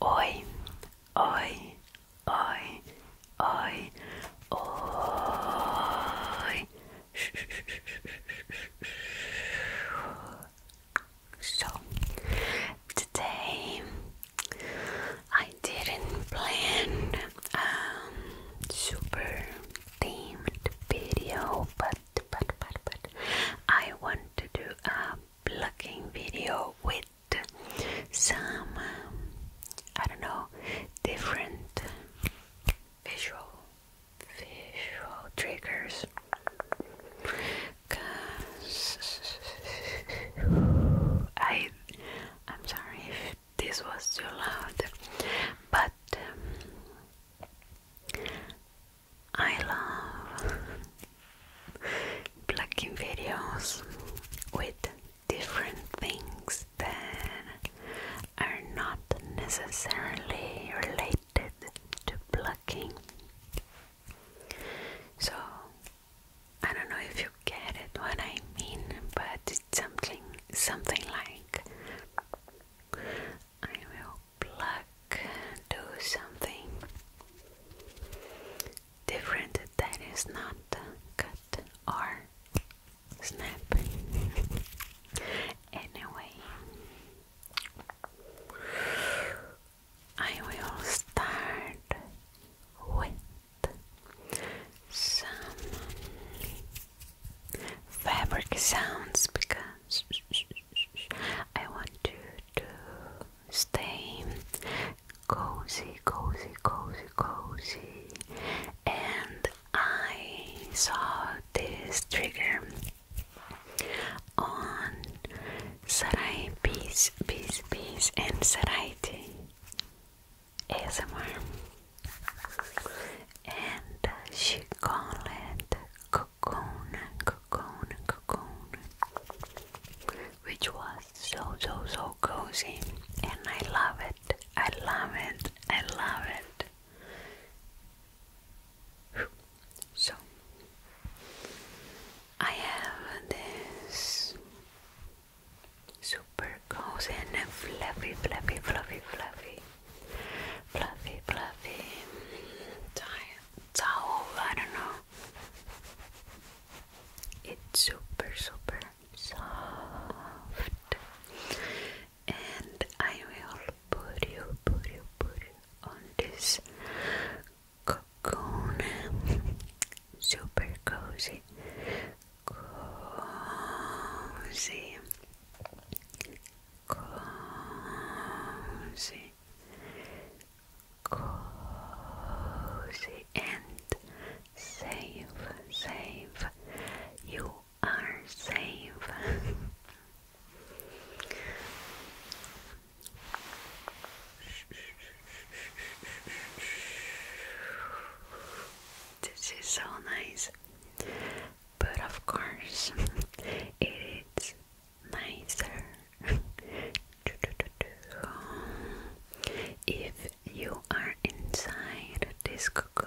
Oi, oi, oi, oi, oi. So today I didn't plan um super themed video, but but but but I want to do a plucking video with some um, I don't know different visual visual triggers I I'm sorry if this was too loud but um, I love plucking videos with different things that are not necessarily related to plucking. So, I don't know if you get it what I mean, but it's something something like I will pluck, do something different that is not cut or snap. anyway, I will start with some fabric sounds because I want you to stay cozy, cozy, cozy, cozy. And I saw this trigger on Sarai Peace, Peace, Peace, and Saraiti ASMR. And she called it cocoon, cocoon, cocoon, which was so, so, so cozy, and I love it. I love it. I love it. So, I have this super cozy and fluffy, fluffy, fluffy, fluffy fluffy, fluffy towel. I don't know. It's super, super soft, and I will put you, put you, put you on this cocoon. Super cozy, cozy, cozy, cozy and safe, safe. You are safe. this is so nice but of course it's nicer if you are inside this cocoon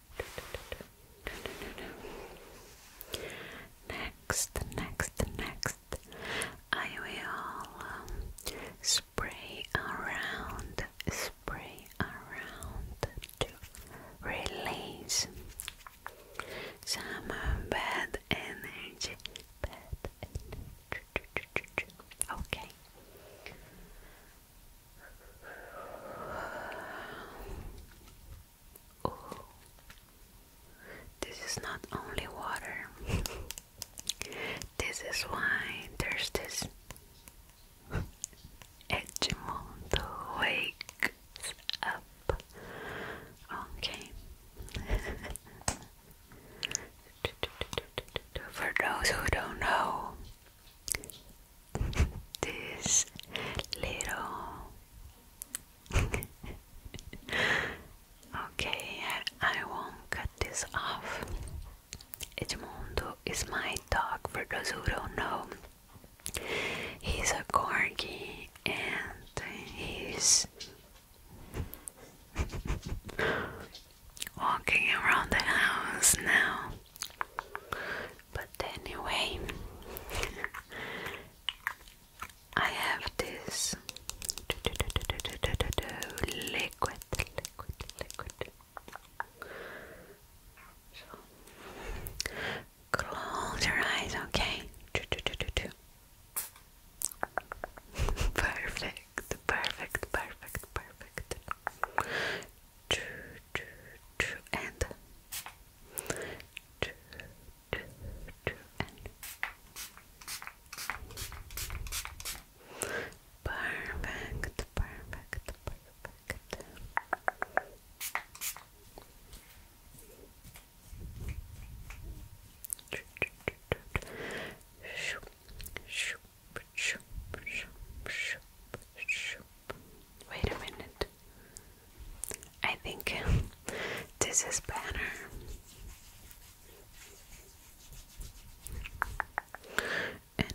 Next, next, next, I will um, spray around, spray around to release some um, Bad energy. Okay. This is not only water. this is wine. there's this Edgemundo wakes up. Okay. For those who don't know, this little. okay, I won't cut this off. Edmundo is my dog for those who don't know. He's a corgi and he's walking around the house now. But anyway, I have this liquid, close your eyes, okay? Perfect, perfect, perfect, perfect and perfect, perfect, perfect. Shoo, shoo, Wait a minute. I think this is banner. and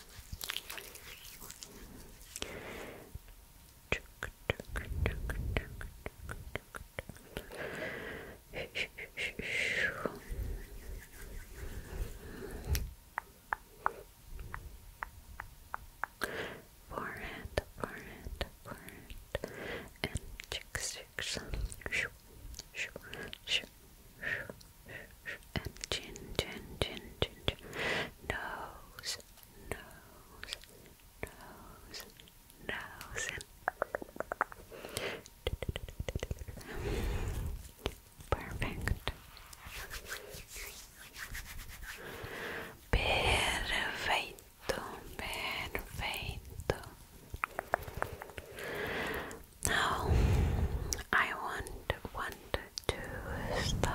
Forehead, forehead, forehead, and cheeks, cheeks. Shoo, shoo, shoo, shoo, shoo and chin, chin, chin, chin, chin. Nose, nose, nose, nose, and perfect. Perfecto, Now I want one to start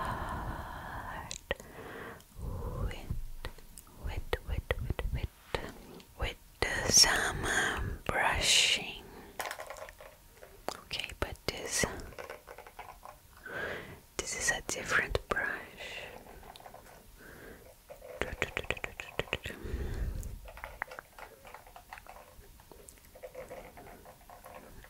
with, with, with, with, with, with some um, brushing. Okay, but this this is a different brush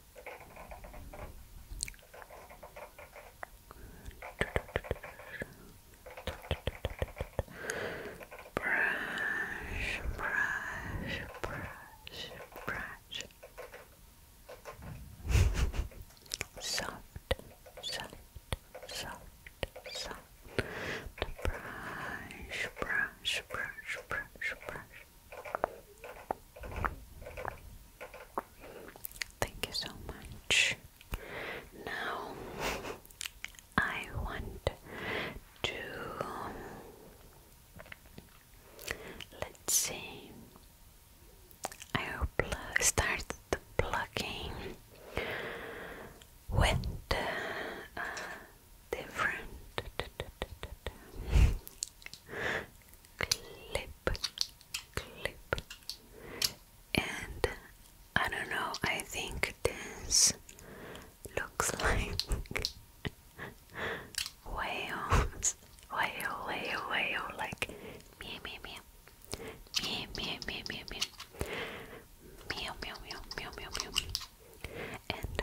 Brush, brush, brush, brush. soft, soft, soft, soft. Brush, brush, brush, brush, brush, Thank you so much. Now I want to let's see. I will start the plugging with uh, different clip, clip, and I don't know. I think this looks like whales, whale, whale, whale, like meow, meow, meow, meow, meow, meow, meow, meow, meow, meow, meow, meow, and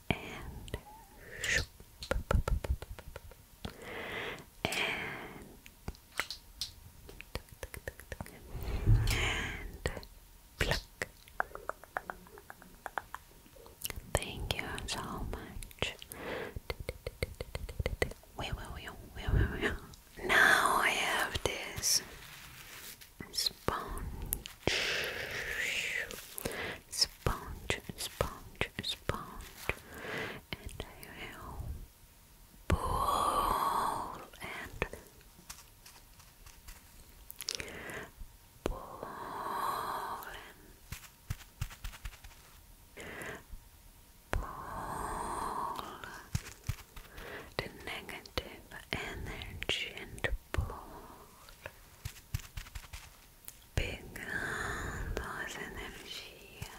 and and and pluck. Thank you so much. Now I have this sponge, sponge, sponge, sponge, and I will pull and pull and pull the negative energy and pull. pegando as energias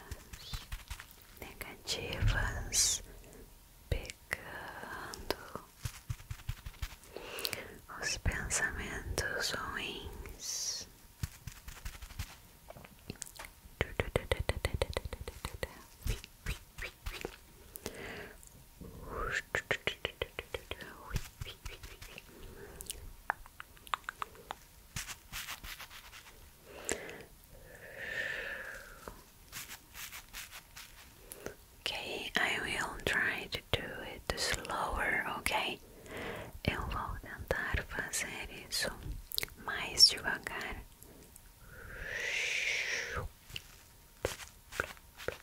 negativas, pegando os pensamentos ruins. Okay, I will try to do it slower, ok? Eu vou tentar fazer isso mais devagar. Plup, plup, plup,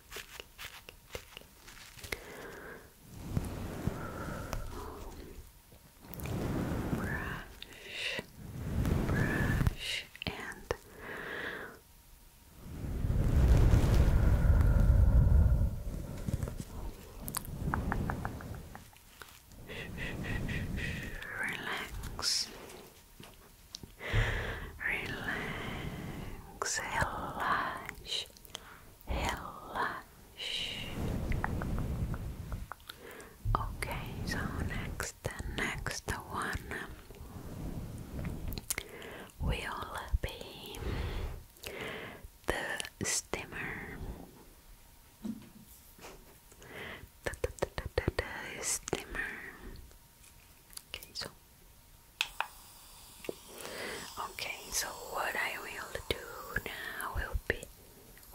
Brush, brush, and relax relax, relax, relax. Okay, so next, next one will be the steamer. The, the, the, the, the steamer Okay, so okay, so what I will do now will be.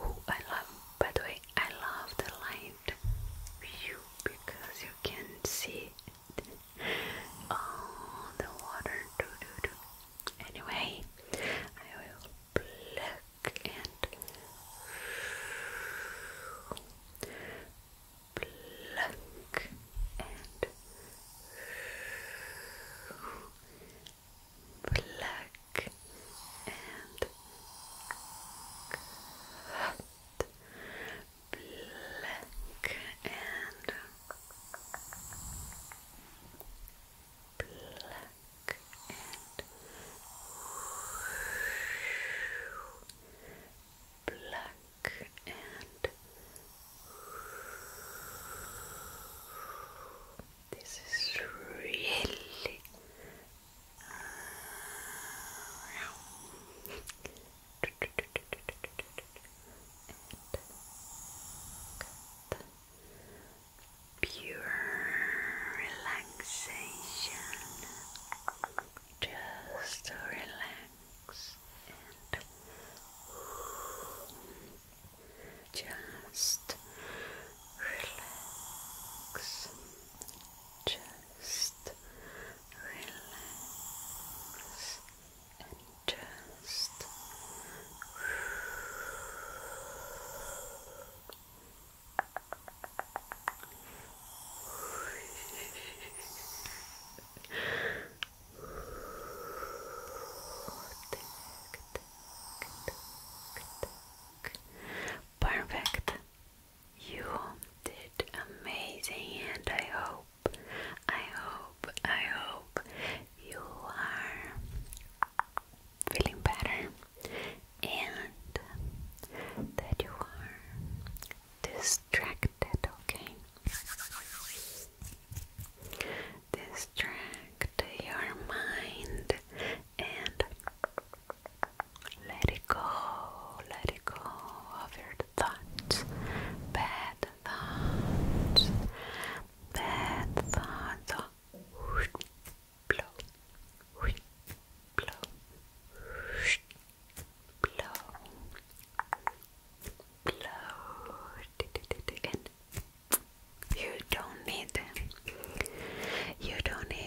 Oh, I love. By the way, I love the light view because you can see the water. Do do do. Anyway, I will pluck and. Black and pluck and cut pluck and pluck and Pluck and this is really Pure relaxation just relax and just relax, just relax and just Perfect. You did amazing and I hope, I hope, I hope you are feeling better and that you are distracted, okay? Distract your mind and let it go, let it go of your thoughts, bad thoughts, bad thoughts. Blow, blow, blow, blow, blow, and you don't need them. You don't need.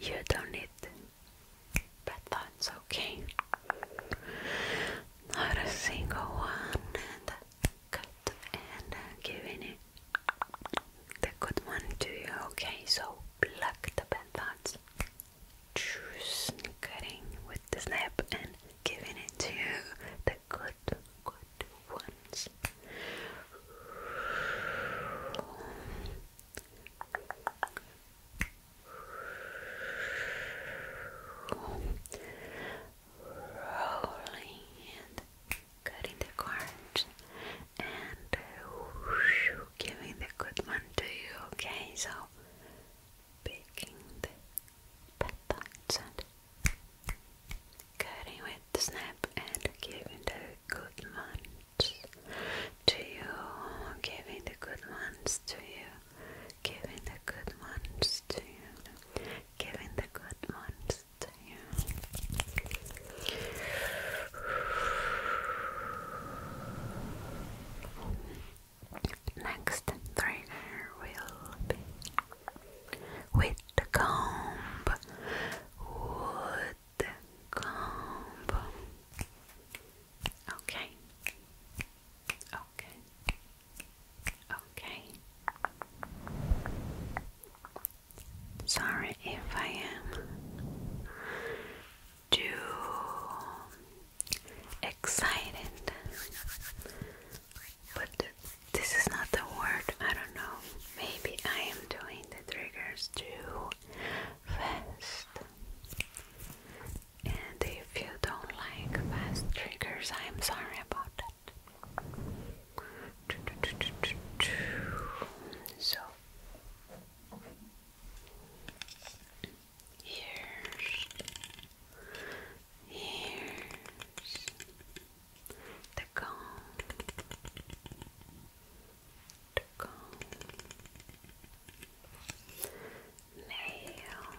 You don't need but that's okay. Not a single one and and giving it the good one to you. Okay, so pluck the pen thoughts, choose cutting with the snap and giving it to the good, good ones. Rolling and cutting the cards and whoosh, giving the good one to you, okay? So, picking the petals cutting with the snap and giving the good ones to you, giving the good ones to you, giving the good ones to you, giving the good ones to you. Next trainer will be with the comb, with the comb. Okay, okay, okay, Sorry if I am too excited, but this is not the word. I don't know. Maybe I am doing the triggers too fast. And if you don't like fast triggers, I am sorry about that. So, Here's, here's the comb, the comb, nails, nails.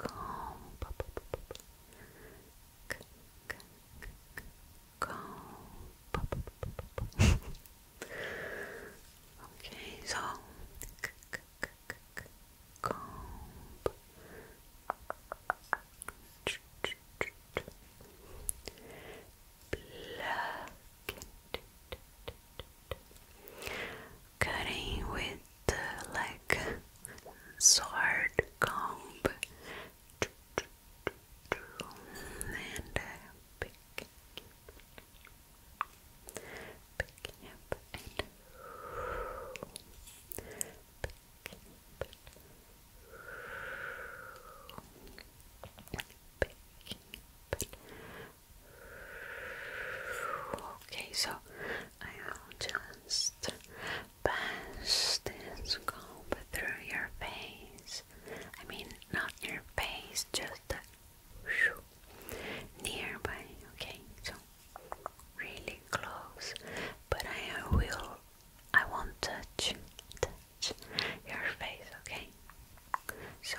comb comb okay so comb pluck Cutting with the like sword comb and picking, uh, picking up and picking up. Picking, Okay, so I will just pass this comb through your face. I mean, not your face, just the nearby. Okay, so really close, but I will. I won't touch touch your face. Okay, so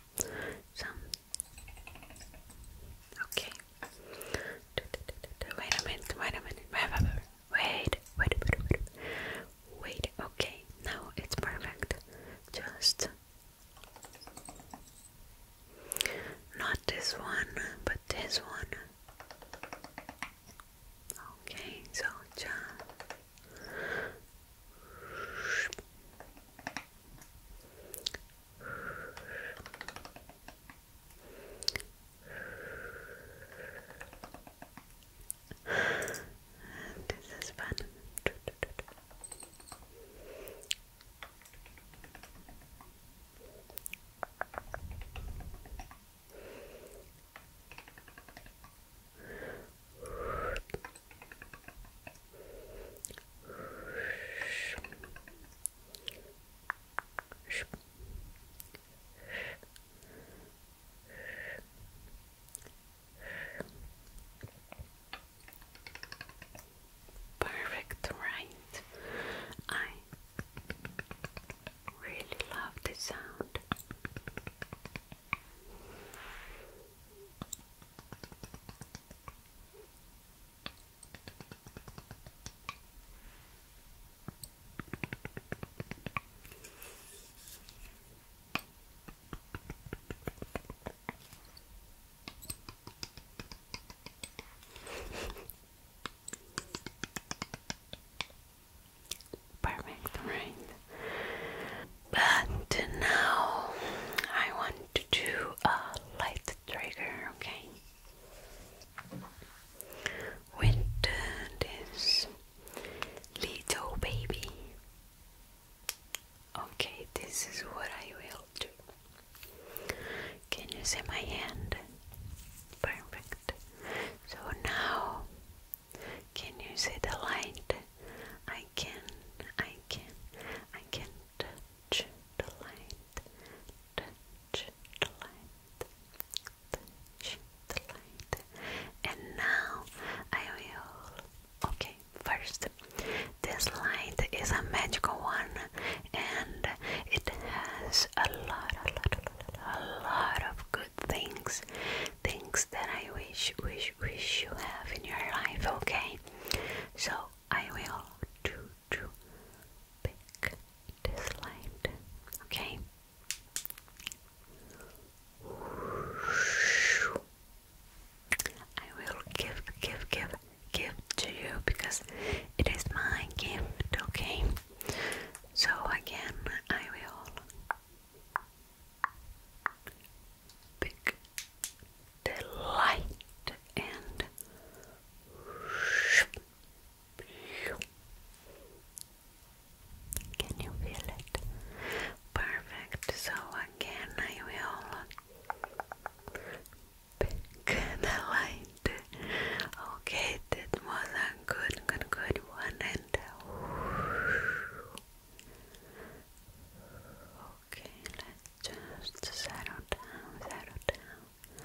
some. Okay. Wait a minute, wait a minute. wait, wait. Wait, okay. Now it's perfect. Just. Not this one, but this one. Okay, so just this is fun. Perfect, right? I really love this sound. Perfect, right? But now I want to do a light trigger, okay? With this little baby. Okay, this is what I will do. Can you see my hand? Perfect. So now can you see the light? I can, I can, I can touch the light, touch the light, touch the light. And now I will. Okay, first, this light is a magical one and it has a lot, a lot, a lot, a lot of good things. Things that I wish, wish, wish you have in your life, okay? So I will do to pick this light, okay? I will give, give, give, give to you because it is my gift, okay? So again, I will big delight and can you feel it? Perfect. So again, I will pick the light. Okay, that was a good, good, good one. And Okay, let's just settle down, settle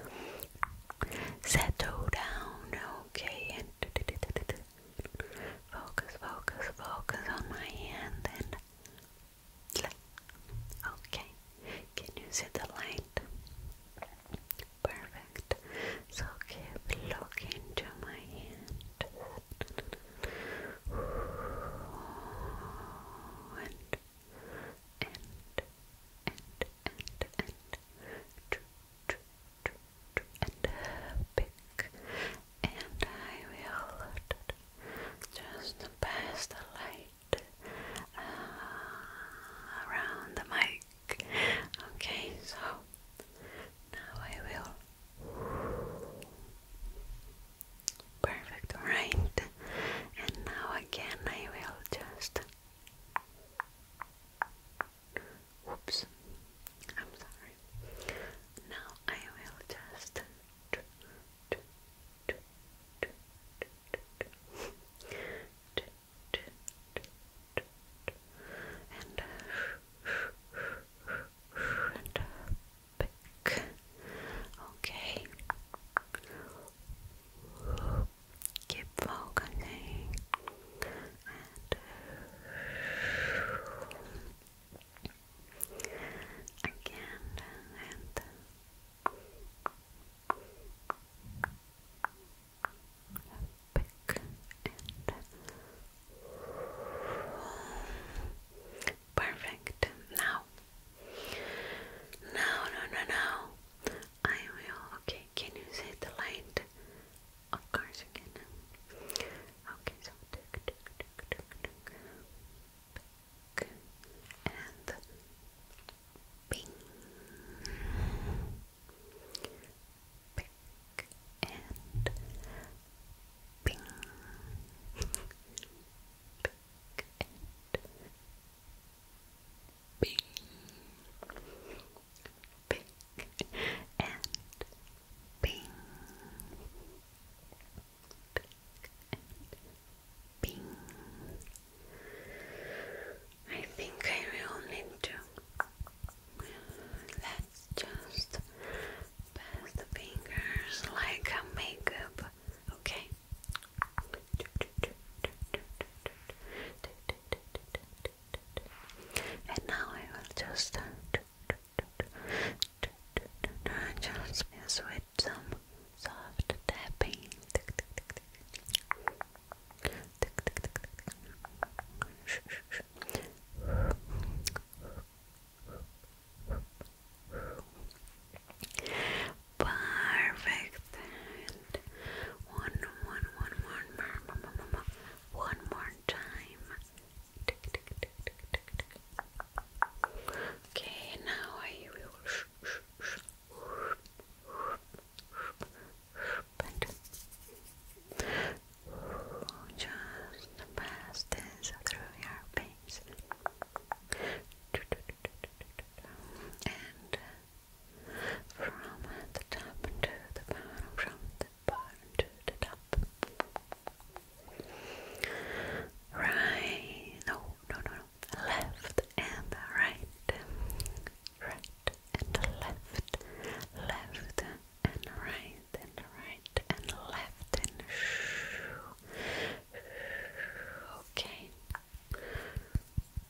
down, settle down. Okay, and focus, focus, focus on my hand and. Okay, can you see the light? Perfect. So keep looking to my hand and, and, and, and, and, and pick, and I will just pass the light around the mic. Okay, so now I will Perfect, right? And now again, I will just. Oops, I'm sorry. Now I will just. Pick. Okay. Keep focusing. again and pick Perfect. Now, no, no, no, I will. Okay, can you see the light? Of course, you can. Okay, so Ping. Pink and pink, pink and pink, pink and pink. I think I will need to let just pass the fingers like a makeup, okay? And now I will just just with some soft tapping. Perfect. And one, one, one, one more, one more time. Okay, now I will. Just pass this through your face and from the top to the bottom, from the bottom to the top. Right, no, no, no, no. Left and right, right and left, left and right and right and left and okay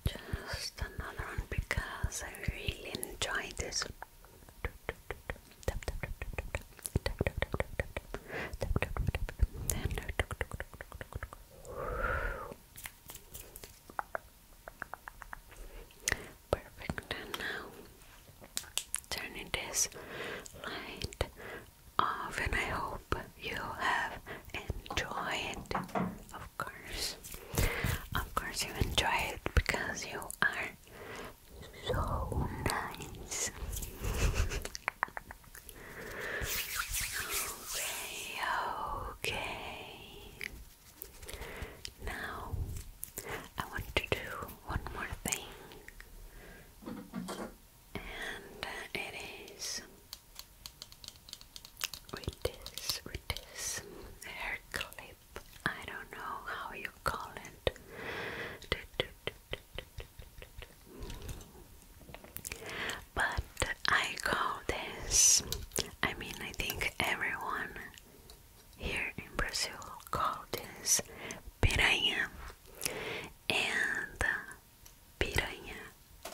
just another one because I really enjoy this Perfect, and now turning this light off, and I hope you have enjoyed. Of course, of course, you enjoy it because you are so nice. okay, okay. Now I want to do one more thing, and it is with this, with this hair clip. I don't know how you call it. But I call this, I mean, I think everyone here in Brazil called this piranha and uh, piranha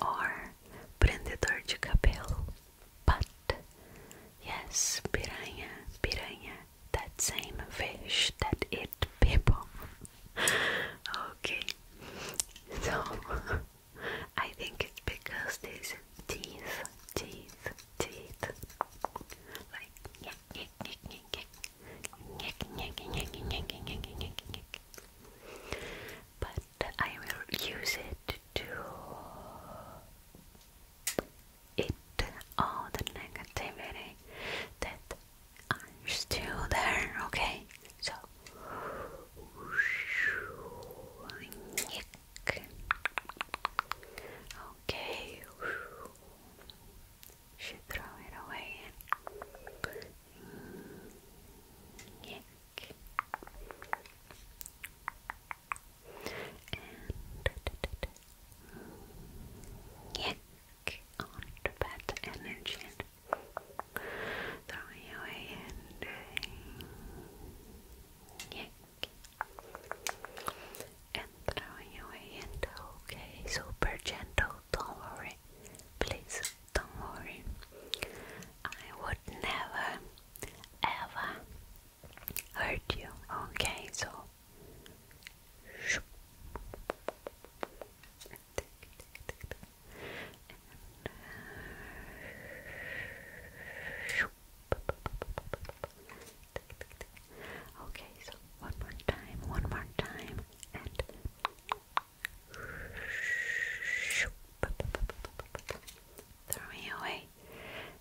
or prendedor de cabelo. But yes, piranha, piranha, that same fish that eat people. okay, so I think it's because these teeth, teeth to eat. Like, But I will use it to eat all the negativity that are still there, okay? So, okay. Should mm, throw it away and uh, Yuck. and Yuck. on the energy and throwing away and Yuck and throwing away and okay, super gentle, don't worry, please don't worry. I would never ever hurt you, okay? So Okay, so one more time, one more time, and throwing away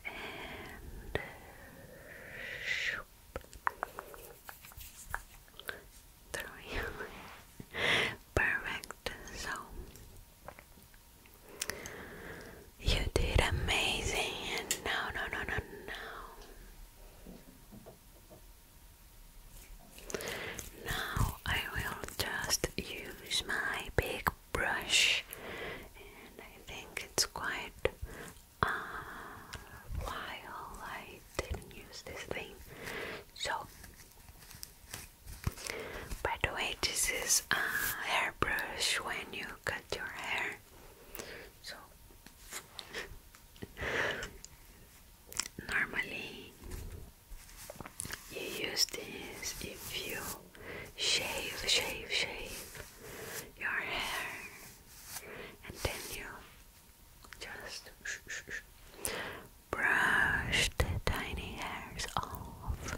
and throwing away. Perfect. So you did amazing, and no, no, no, no. Now I will just use my big brush, and I think it's quite a while I didn't use this thing. So, by the way, this is a hairbrush when you cut your hair. So normally you use this if you shave, shave, shave your hair and then you just brush the tiny hairs off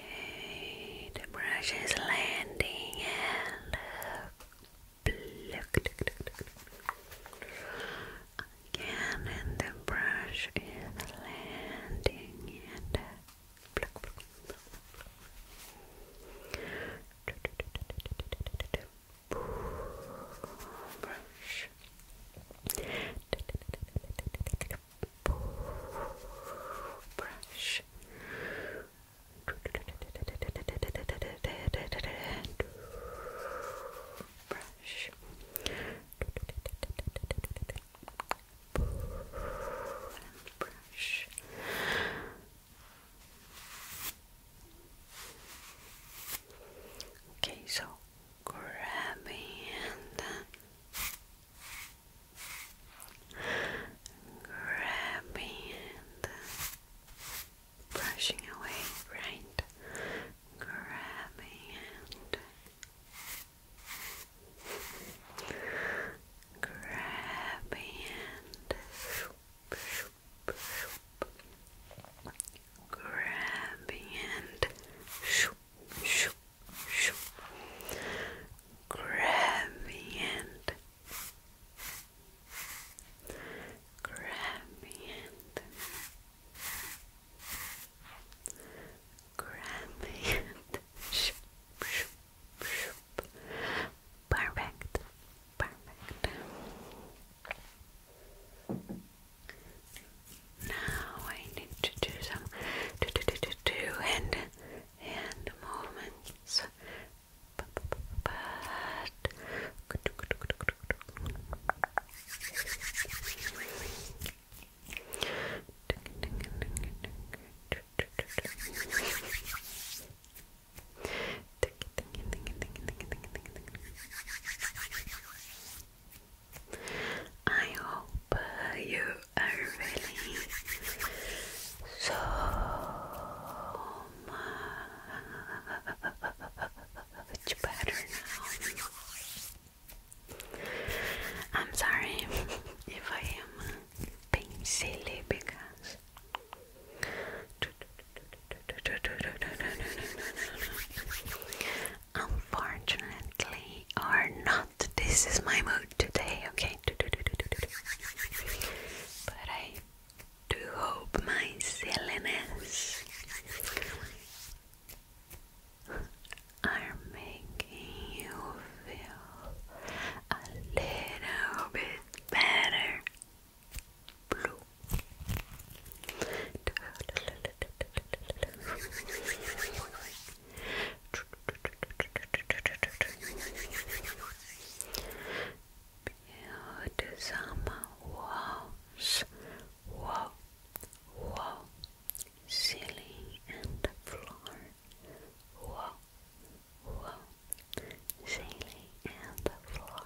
the brush is landing and pluck. Again, and the brush is landing and pluck, Brush. Brush, Brush. Brush. Okay, so grabbing and grabbing and brushing away, right? Grabbing grabbing grabbing grabbing Grab me Perfect. Perfect. Now I need to do some do do do do do and hand movements, but I hope you are really so much better now. I'm sorry if I am being silly because. Unfortunately, or not this is my mood today, okay? But I do hope my silliness are making you feel a little bit better. Beautysama walls, wall, wall, ceiling and floor, wall, wall, ceiling and floor.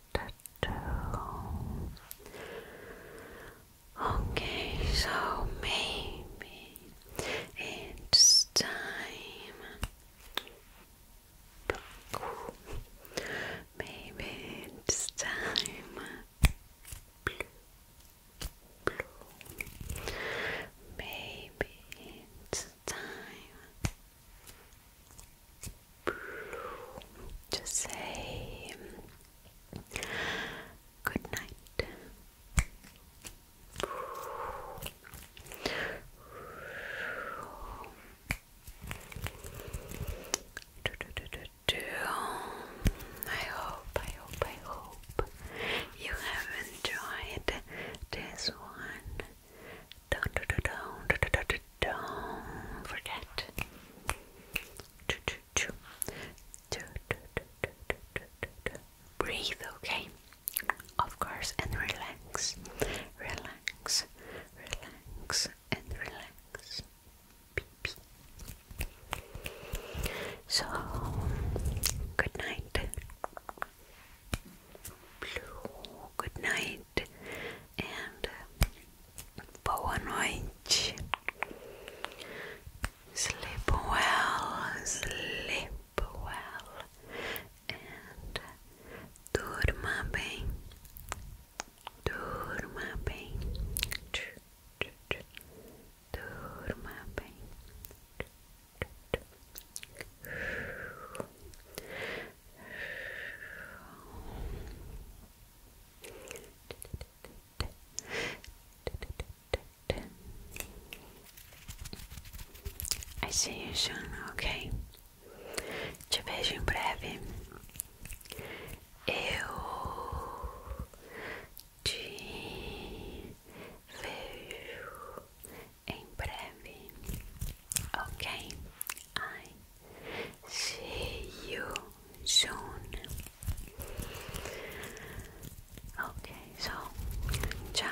Okay, so maybe it's time. Maybe it's time. Maybe it's time to say good night. I hope, I hope, I hope you have enjoyed this one. Don't forget. Breathe, okay? Of course, and relax, relax, relax, and relax. So, good night. good night, and uh, Boa noite. Sleep well, sleep well, and durma bem, durma bem, durma bem. I see you soon, ok? Te vejo em breve. Eu te vejo em breve, ok? Ai, See you soon. Okay, so ciao,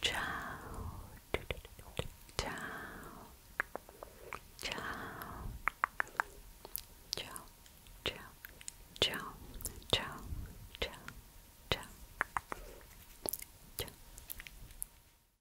ciao, ciao, ciao, ciao, ciao, ciao, ciao, ciao, ciao, ciao.